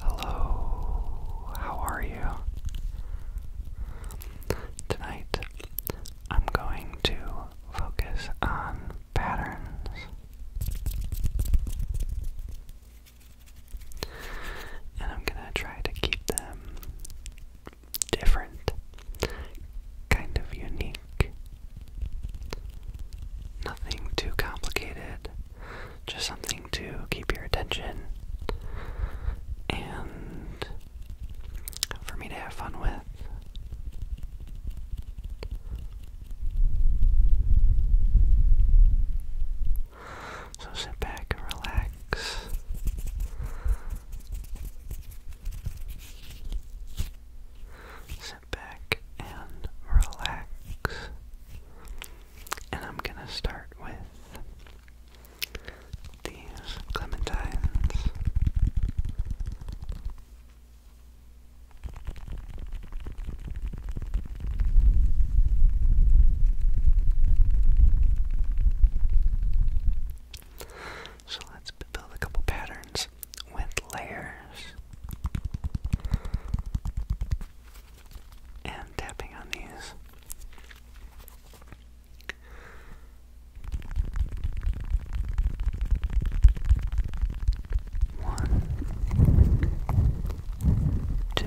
Hello, how are you? Tonight I'm going to focus on patterns. And I'm going to try to keep them different, kind of unique. Nothing too complicated, just something to keep your attention and for me to have fun with. So sit back and relax. Sit back and relax. And I'm going to start with these clementines. So let's build a couple patterns with layers. And tapping on these. One, two,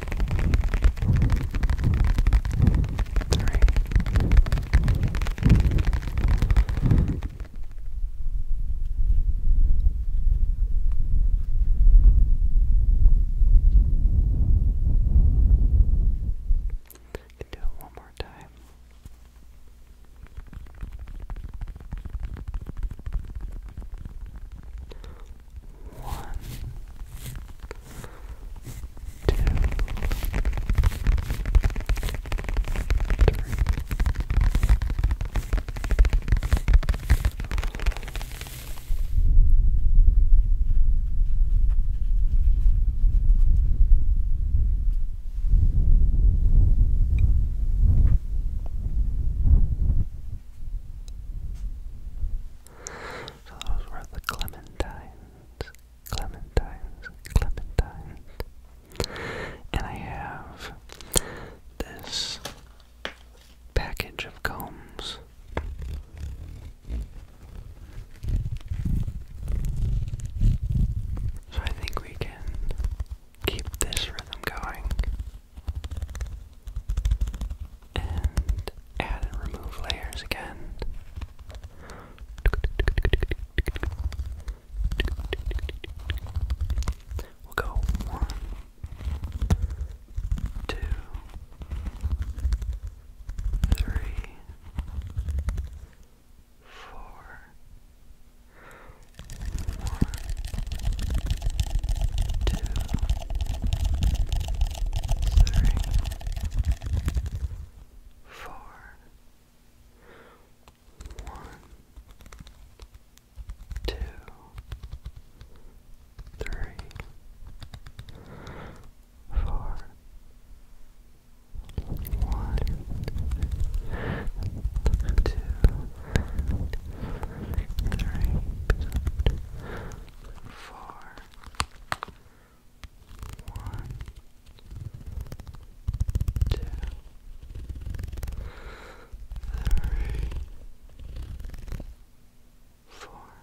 Alright. I can do it one more time. One, two, three, so those were the clementines clementines, clementines. And I have this package of combs. So I think we can keep this rhythm going and add and remove layers again. We'll go one, two, three, four, one, two, three, four, one, two, three, four, one, two, three, four. Five, one, two, three, four. One, two, four. Okay.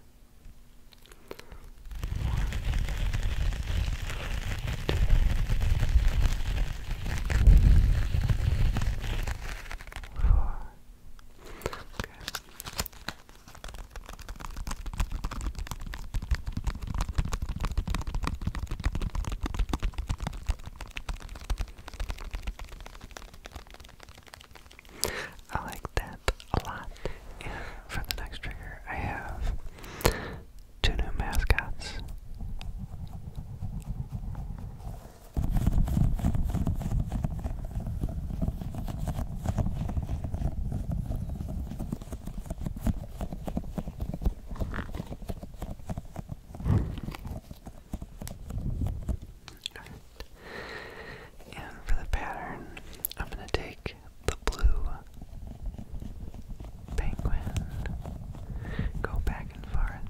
I like that a lot. for the next trigger, I have two new mascots. And for the pattern, I'm going to take the blue penguin, go back and forth,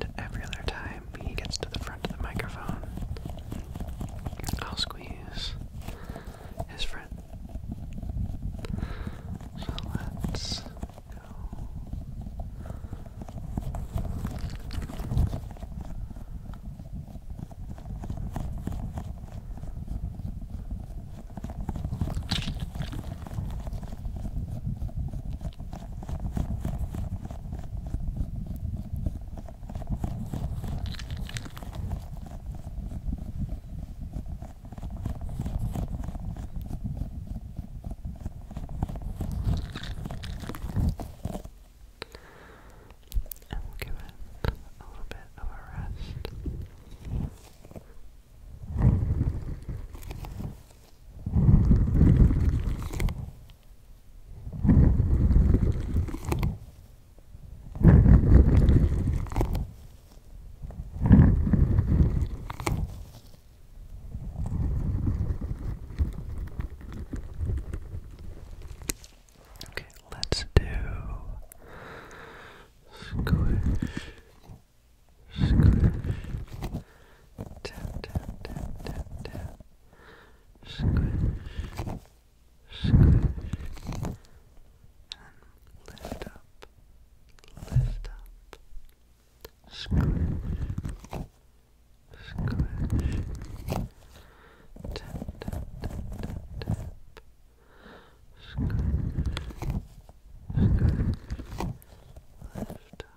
and every other time he gets to the front of the microphone, I'll squeeze his friend. So let's go. And we'll give it a little bit of a rest. Okay, let's do squish Scratch. Tap, tap, tap, tap, tap. Scratch. Scratch. And lift up. Lift up. Scratch. Scratch. Tap, tap, tap, tap, tap. Scratch. Scratch. Lift up.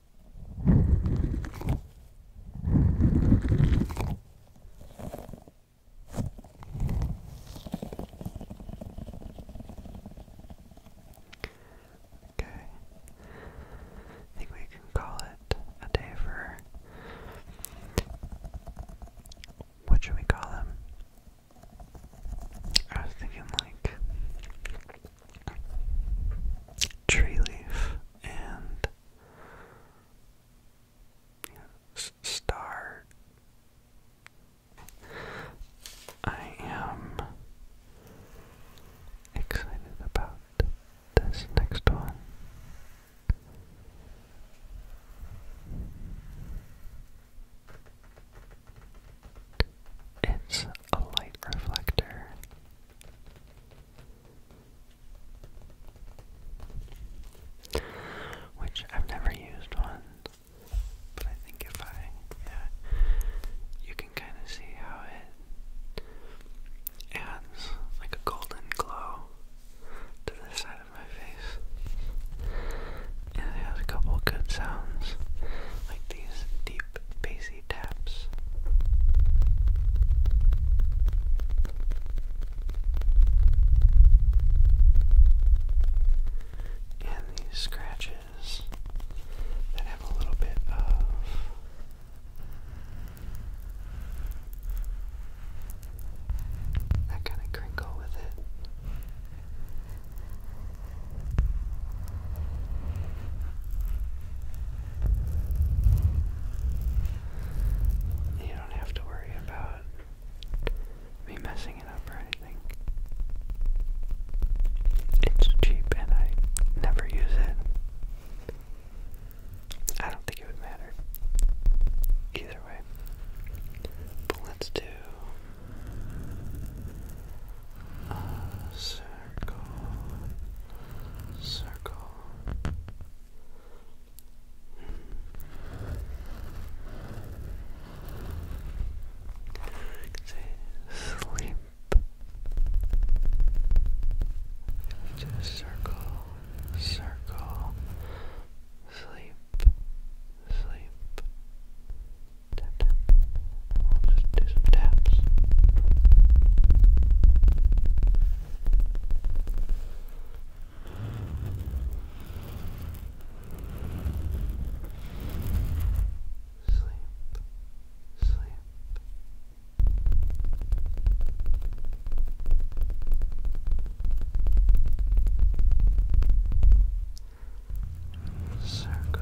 Okay. I think we can call it a day for what should we call them? I was thinking like tree leaf and star. I am excited about this next one. It's a light reflector. Which I've never used one, but I think if I, yeah, you can kind of see how it adds like a golden glow to the side of my face. And it has a couple good sounds, like these deep deep taps. And these scratches that have a little bit of that kind of crinkle with it. You don't have to worry about me messing it up or anything. It's cheap and I never use it. I don't think it would matter. Either way. let's do us. Uh, circle, circle. sleep. Just circle, circle, sleep, sleep, Tap, tap. just do some taps. Sleep, sleep. Circle,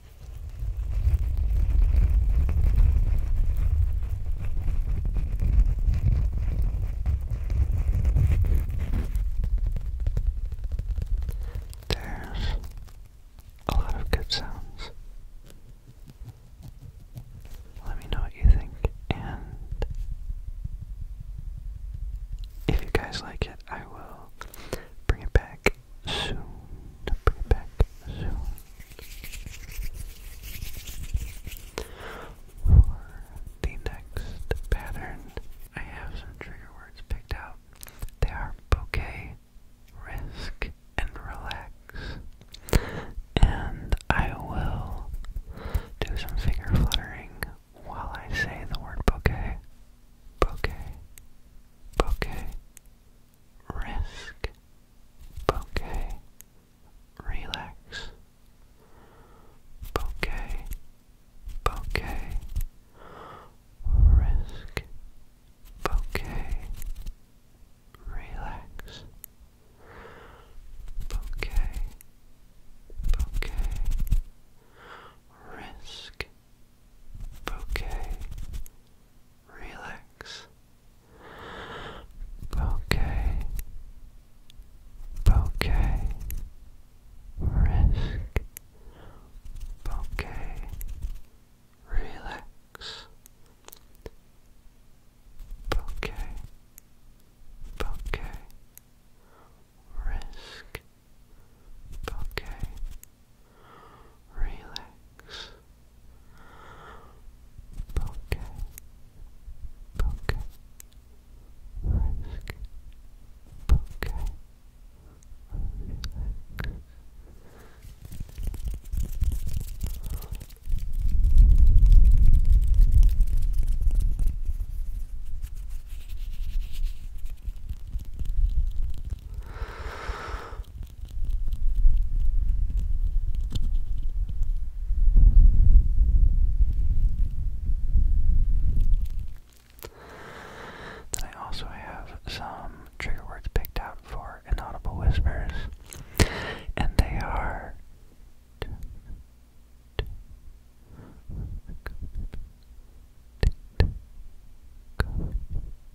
There's a lot of good sounds. Let me know what you think, and if you guys like it, I will bring it back soon. Bring it back soon. For the next pattern, I have some trigger words picked out. They are bouquet, risk, and relax. And I will do some finger fluttering while I say the word bouquet. Bouquet. Bouquet risk, bouquet, relax, bouquet, bouquet, risk, bouquet, relax, bouquet, bouquet, risk, bouquet, relax. Bouquet, bouquet, risk, bouquet, relax. Bouquet, bouquet, risk, bouquet, relax. Poke, poke, risk, poke, relax. Then I also have some trigger words picked out for inaudible whispers, and they are.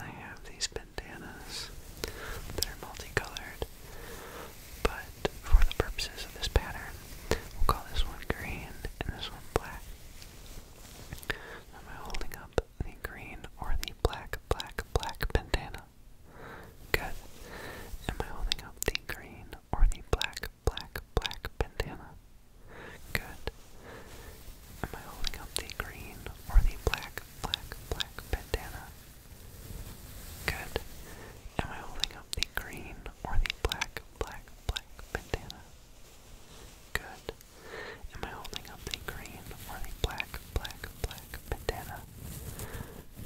I have these bandanas that are multicolored. But for the purposes of this pattern, we'll call this one green and this one black. Am I holding up the green or the black, black, black bandana? Good. Am I holding up the green or the black, black, black bandana? Good. Am I holding up the green or the black, black, black bandana? Good. Am I holding up the green or the black, black, black bandana? Good. Am I holding up the green or the black, black, black bandana?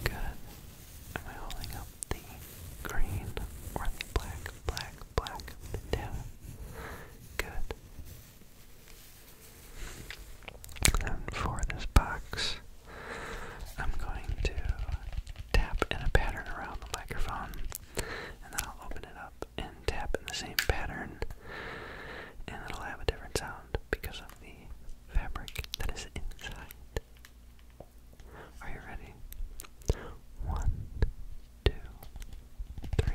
Good. Am I holding up the green or the black, black, black bandana? Good. And for this box, I'm going to tap in a pattern around the microphone, and then I'll open it up and tap in the same pattern, and it'll have a different sound because of the fabric that is inside. Are you ready? One, two, three.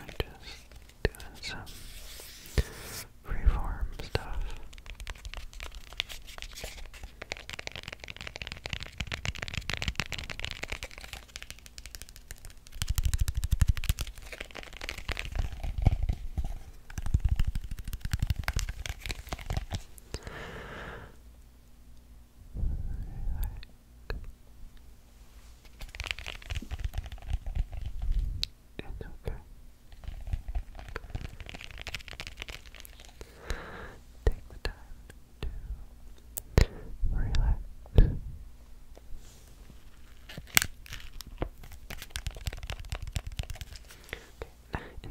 I'm just doing some freeform stuff. It's okay. Take the time to to relax. And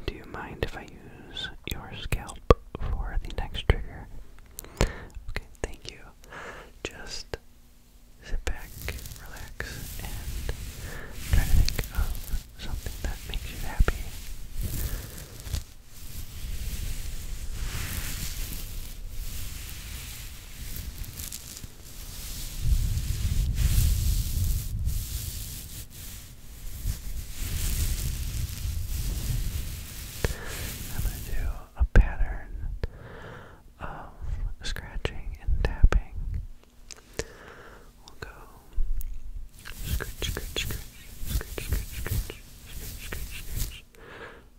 do you mind if I use your scalp for the next trigger? Okay, thank you. Just sit back, relax, and try to think of something that makes you happy. I'm going to do a pattern of scratching and tapping. We'll go scratch, scratch, scratch, scratch, scratch, scratch, scratch, scratch, scratch, scratch,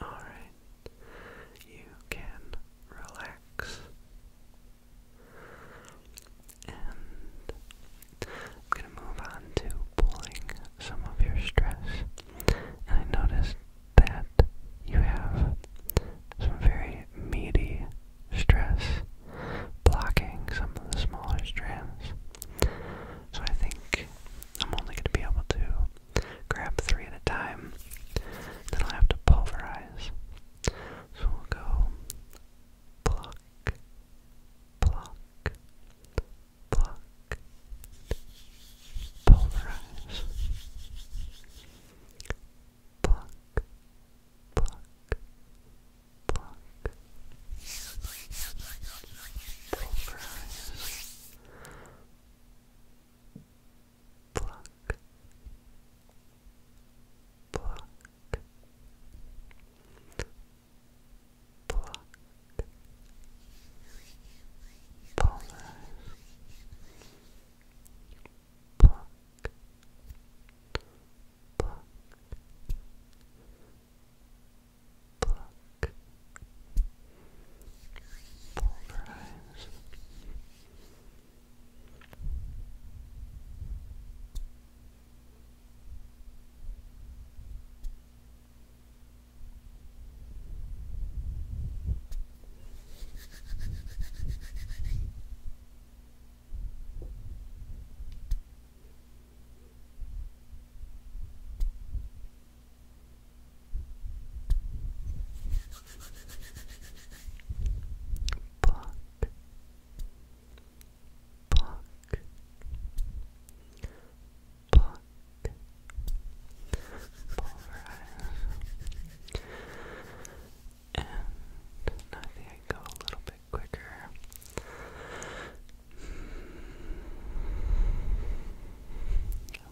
All right, you can relax. And I'm going to move on to pulling some of your stress. And I noticed that you have some very meaty stress blocking some of the smaller strands. So I think I'm only going to be able to grab three at a time. Then I'll have to pulverize. So we'll go pluck, pluck, pluck, polarize, pluck, pluck, pluck, polarize, pluck, pluck. Pluck, Pollen. Pluck. Pluck. Pluck. Pulverize. Pulverize. Buck, Buck, Buck, Pluck. And I think I go a little bit quicker.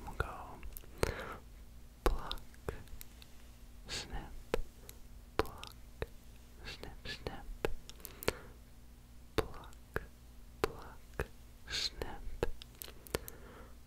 we'll go pluck, snip, pluck, snip, snip, pluck, pluck, snip,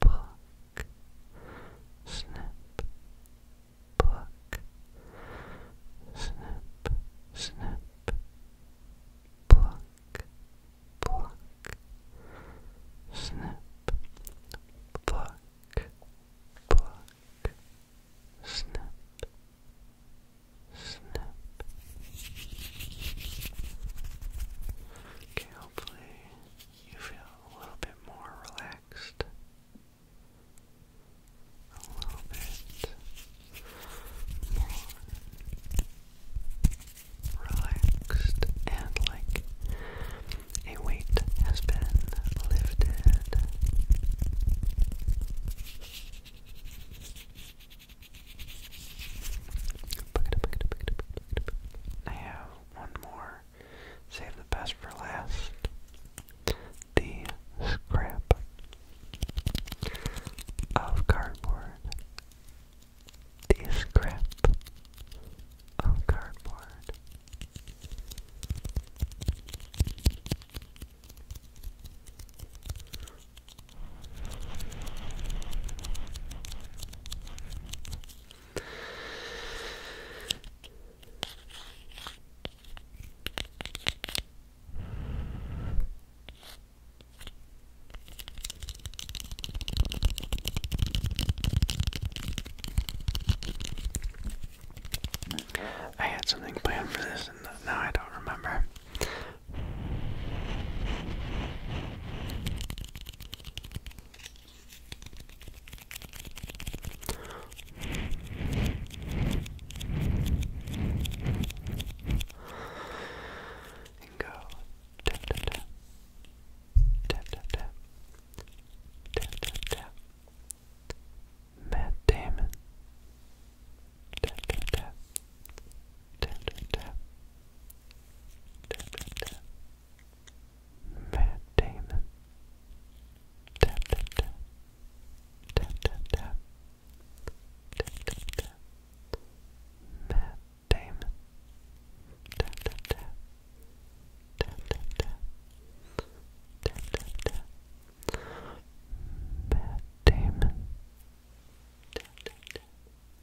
book, Snap. book, Snap. Snap. book, book, snip, book, book, snip. Snip. Okay, you feel a little bit more relaxed, a little bit more relaxed, and like a weight has been lifted. I have one more Save the best for last. The scrap of cardboard. The scrap of cardboard. I had something planned for this and now I don't remember. And go tap tap tap tap tap tap tap tap tap Matt Damon tap tap tap tap tap tap tap tap tap Matt Damon. Tap tap tap. Tap Damon. Tap Damon.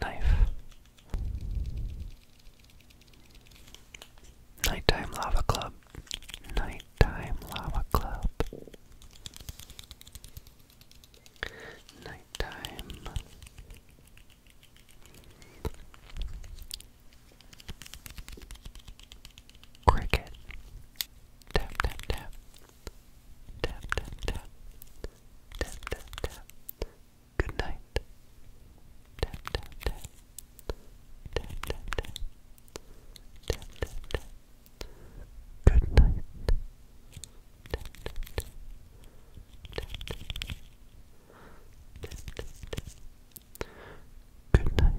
Knife. Nighttime Lava Club. Nighttime Lava Club. Nighttime. Cricket. Tap, tap, tap. Tap, tap, tap. Tap, tap, tap. Good night. Tap, tap, tap. Tap, tap, tap. Tap, tap, tap. Good night. Tap, tap, tap. Tap, tap, tap. Good night.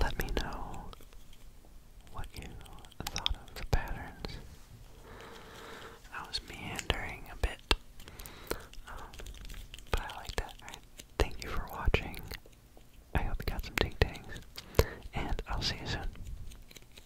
Let me know what you thought of the patterns. I was meandering a bit, um, but I like that. Thank you for watching. I hope you got some ting tings, and I'll see you soon.